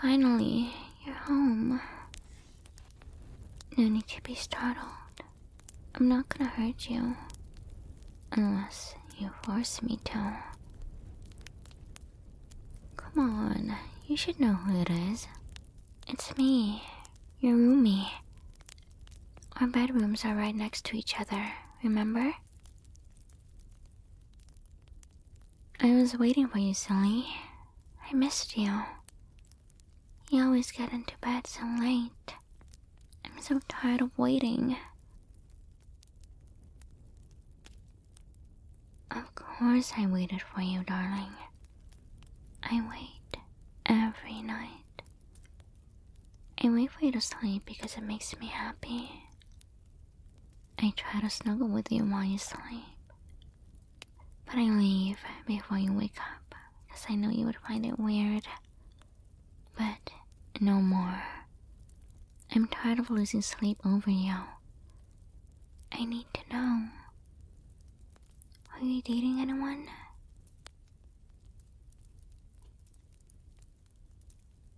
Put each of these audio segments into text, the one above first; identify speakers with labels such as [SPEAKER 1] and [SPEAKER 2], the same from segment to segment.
[SPEAKER 1] Finally, you're home. No need to be startled. I'm not gonna hurt you. Unless you force me to. Come on, you should know who it is. It's me, your roomie. Our bedrooms are right next to each other, remember? I was waiting for you, silly. I missed you. You always get into bed so late. I'm so tired of waiting. Of course, I waited for you, darling. I wait every night. I wait for you to sleep because it makes me happy. I try to snuggle with you while you sleep. But I leave before you wake up because I know you would find it weird. But no more. I'm tired of losing sleep over you. I need to know. Are you dating anyone?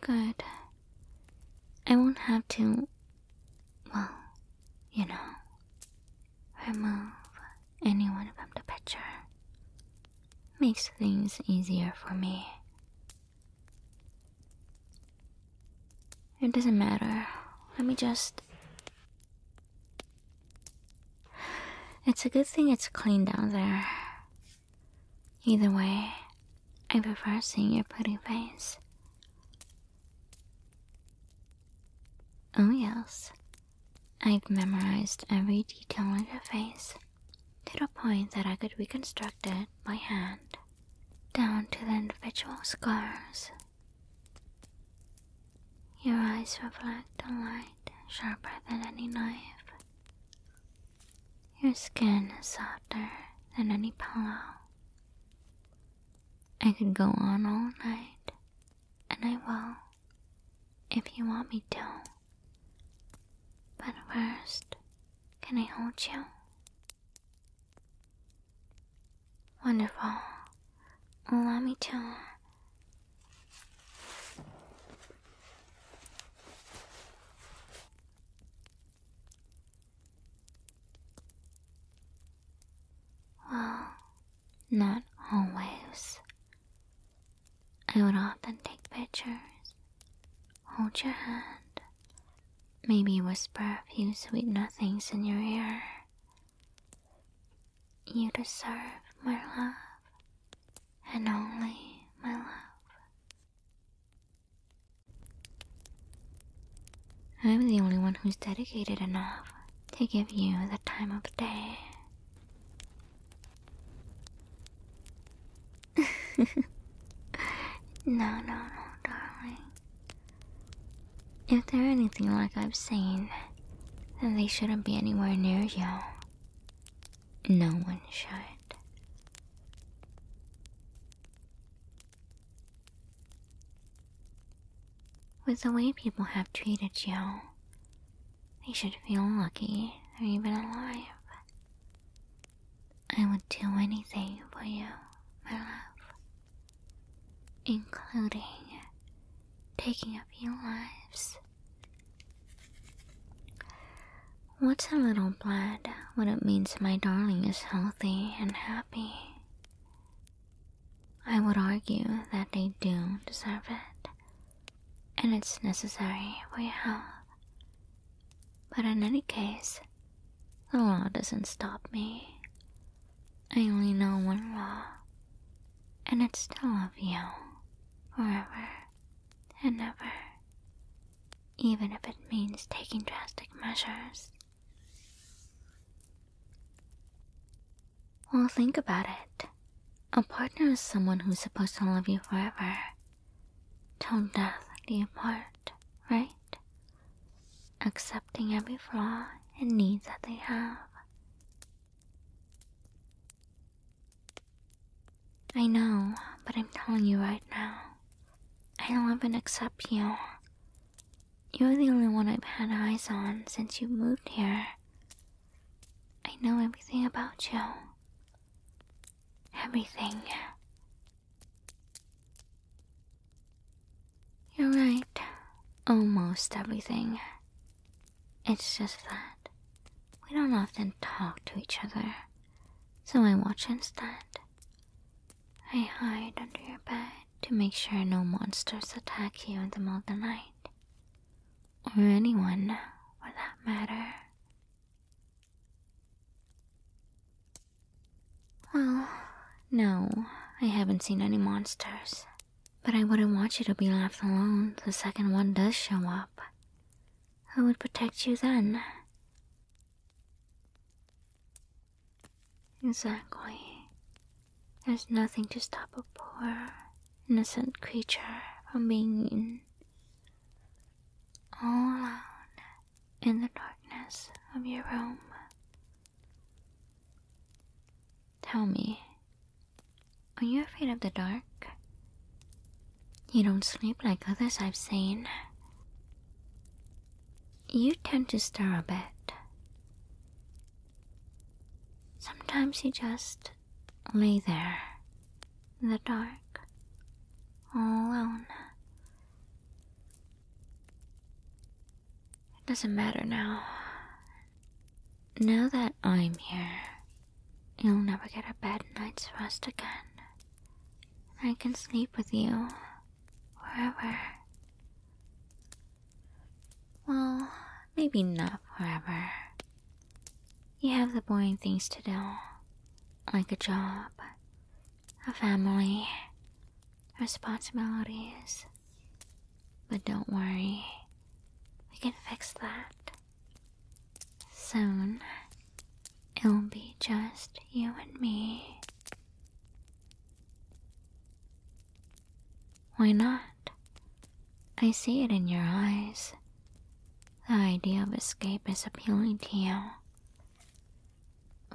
[SPEAKER 1] Good. I won't have to, well, you know, remove anyone from the picture. Makes things easier for me. It doesn't matter. Let me just. It's a good thing it's clean down there. Either way, I prefer seeing your pretty face. Oh, yes. i have memorized every detail of your face, to the point that I could reconstruct it by hand, down to the individual scars. Your eyes reflect the light sharper than any knife. Your skin is softer than any pillow. I could go on all night, and I will, if you want me to. But first, can I hold you? Wonderful. Allow me to well, not always. I would often take pictures, hold your hand, maybe whisper a few sweet nothings in your ear. You deserve my love and only my love. I'm the only one who's dedicated enough to give you the time of day. no, no, no, darling. If they're anything like I've seen, then they shouldn't be anywhere near you. No one should. With the way people have treated you, they should feel lucky they're even alive. I would do anything for you, my love, including taking a few lives. What's a little blood when it means my darling is healthy and happy? I would argue that they do deserve it, and it's necessary for your health. But in any case, the law doesn't stop me. I only know one law, and it's to love you forever and never, even if it means taking drastic measures. Well, think about it. A partner is someone who's supposed to love you forever, till death do you part, right? Accepting every flaw and needs that they have. I know, but I'm telling you right now. I love and accept you. You're the only one I've had eyes on since you moved here. I know everything about you. Everything. You're right. Almost everything. It's just that we don't often talk to each other, so I watch instead. I hide under your bed to make sure no monsters attack you in the middle of the night, or anyone for that matter. Well, no, I haven't seen any monsters. But I wouldn't want you to be left alone the second one does show up. Who would protect you then? Exactly. There's nothing to stop a poor, innocent creature from being All alone in the darkness of your room. Tell me, are you afraid of the dark? You don't sleep like others I've seen. You tend to stir a bit. Sometimes you just lay there in the dark, all alone. It doesn't matter now. Now that I'm here, You'll never get a bad night's rest again. I can sleep with you forever. Well, maybe not forever. You have the boring things to do, like a job, a family, responsibilities. But don't worry, we can fix that. Soon, it'll be just you and me. Why not? I see it in your eyes. The idea of escape is appealing to you.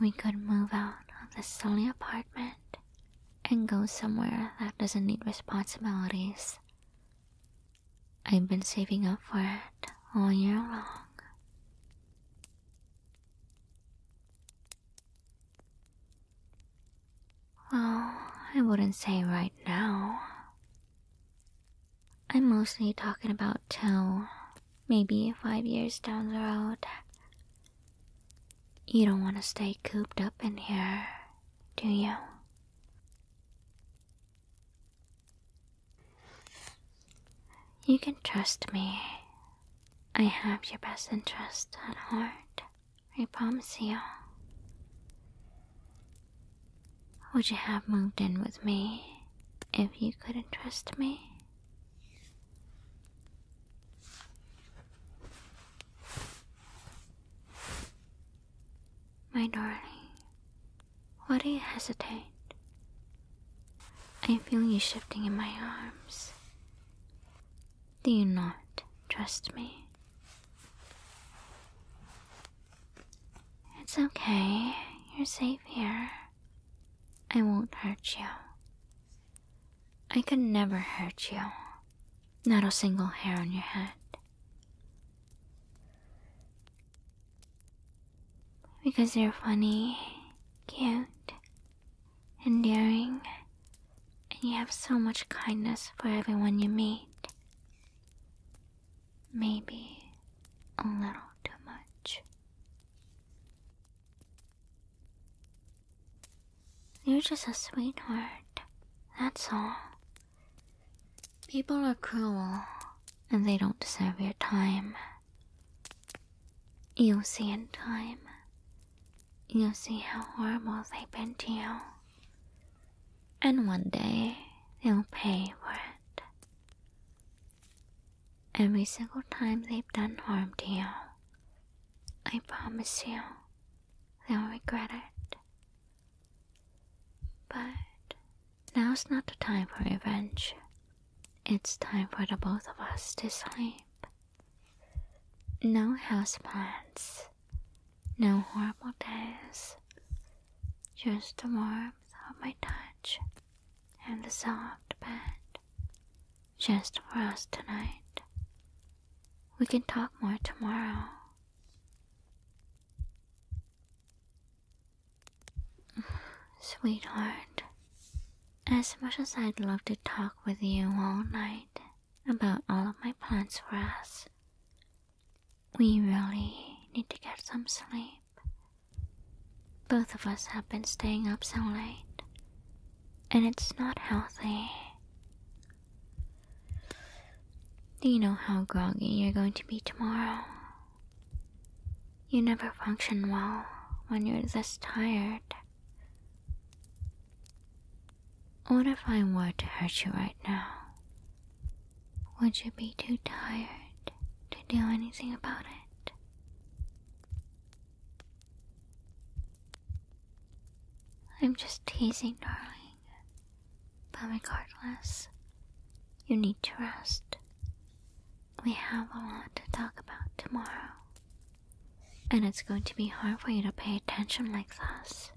[SPEAKER 1] We could move out of this silly apartment and go somewhere that doesn't need responsibilities. I've been saving up for it all year long. Well, I wouldn't say right now. I'm mostly talking about till maybe five years down the road. You don't want to stay cooped up in here, do you? You can trust me. I have your best interest at heart. I promise you. Would you have moved in with me if you couldn't trust me? My darling, why do you hesitate? I feel you shifting in my arms. Do you not trust me? It's okay, you're safe here. I won't hurt you. I could never hurt you. Not a single hair on your head. Because you're funny, cute, endearing, and you have so much kindness for everyone you meet. Maybe a little too much. You're just a sweetheart, that's all. People are cruel, and they don't deserve your time. You'll see in time. You'll see how horrible they've been to you. And one day, they'll pay for it. Every single time they've done harm to you, I promise you, they'll regret it. But Now's not the time for revenge. It's time for the both of us to sleep. No house No horrible days. Just the warmth of my touch and the soft bed. Just for us tonight. We can talk more tomorrow. Sweetheart, as much as I'd love to talk with you all night about all of my plans for us, we really need to get some sleep. Both of us have been staying up so late, and it's not healthy. Do you know how groggy you're going to be tomorrow? You never function well when you're this tired. What if I were to hurt you right now? Would you be too tired to do anything about it? I'm just teasing, darling. But regardless, you need to rest. We have a lot to talk about tomorrow. And it's going to be hard for you to pay attention like this.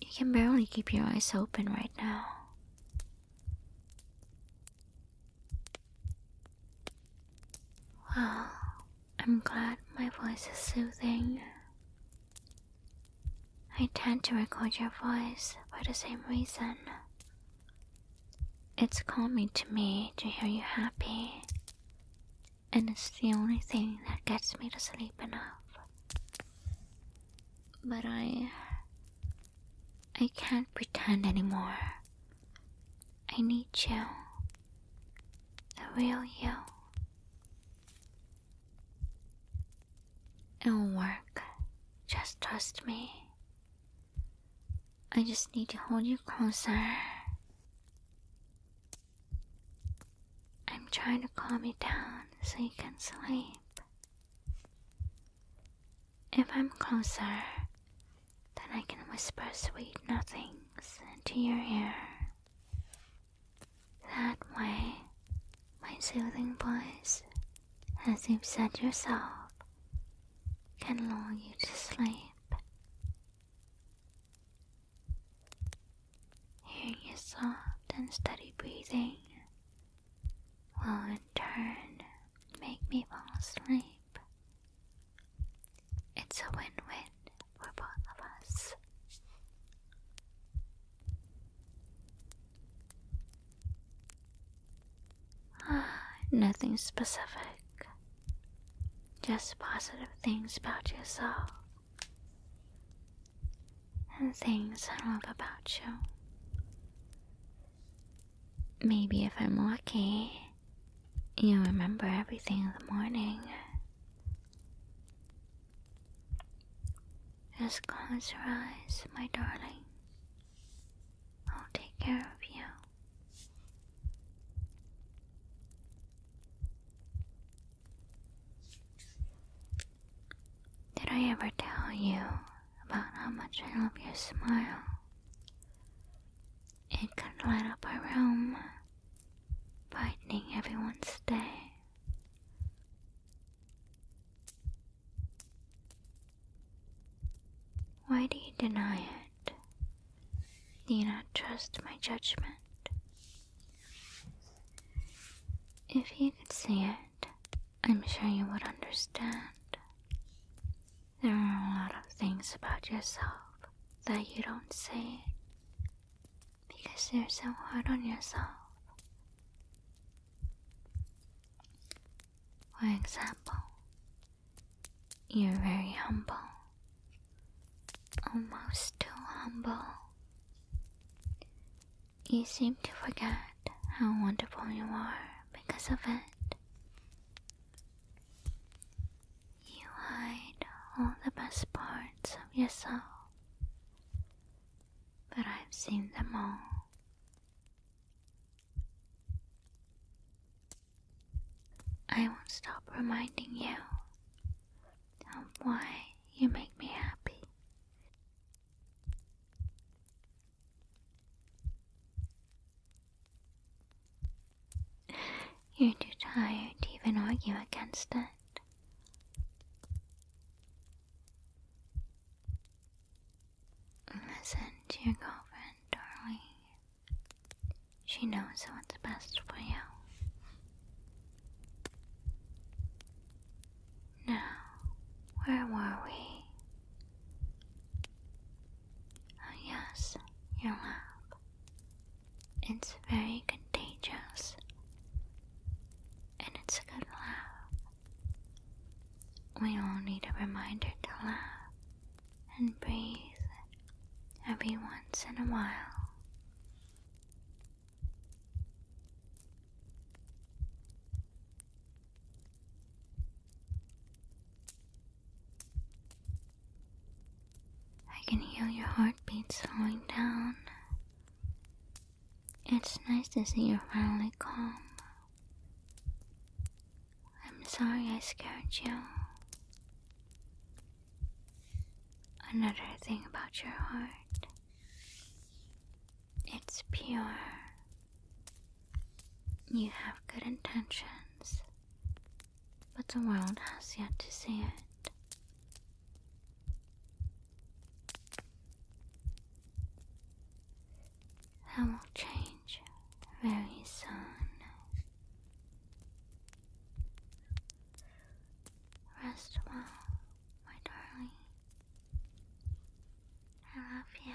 [SPEAKER 1] You can barely keep your eyes open right now. Well, I'm glad my voice is soothing. I tend to record your voice for the same reason. It's calming to me to hear you happy, and it's the only thing that gets me to sleep enough. But I. I can't pretend anymore. I need you. The real you. It'll work. Just trust me. I just need to hold you closer. I'm trying to calm you down so you can sleep. If I'm closer, then I can whisper sweet nothings into your ear. That way, my soothing voice, as you've said yourself, can lull you to sleep. Hearing your soft and steady breathing will in turn make me fall asleep. It's a win win for both of us. Nothing specific. Just positive things about yourself. And things I love about you. Maybe if I'm lucky, you'll remember everything in the morning. Just close your eyes, my darling. I'll take care of you. Did I ever tell you about how much I love your smile? It could light up a room, brightening everyone's day. Why do you deny it? Do you not trust my judgment? If you could see it, I'm sure you would understand. There are a lot of things about yourself that you don't see because you're so hard on yourself. For example, you're very humble, almost too humble. You seem to forget how wonderful you are because of it. You hide all the best parts of yourself but I've seen them all. I won't stop reminding you of why you make me happy. You're too tired to even argue against it. Listen to your girlfriend, darling. She knows what's best for you. Now, where were we? Oh, yes, your laugh. It's very contagious. And it's a good laugh. We all need a reminder to laugh and breathe every once in a while. I can hear your heartbeat slowing down it's nice to see you finally calm. I'm sorry I scared you. Another thing about your heart. It's pure. You have good intentions, but the world has yet to see it. That will change very soon. Rest well, my darling. I love you.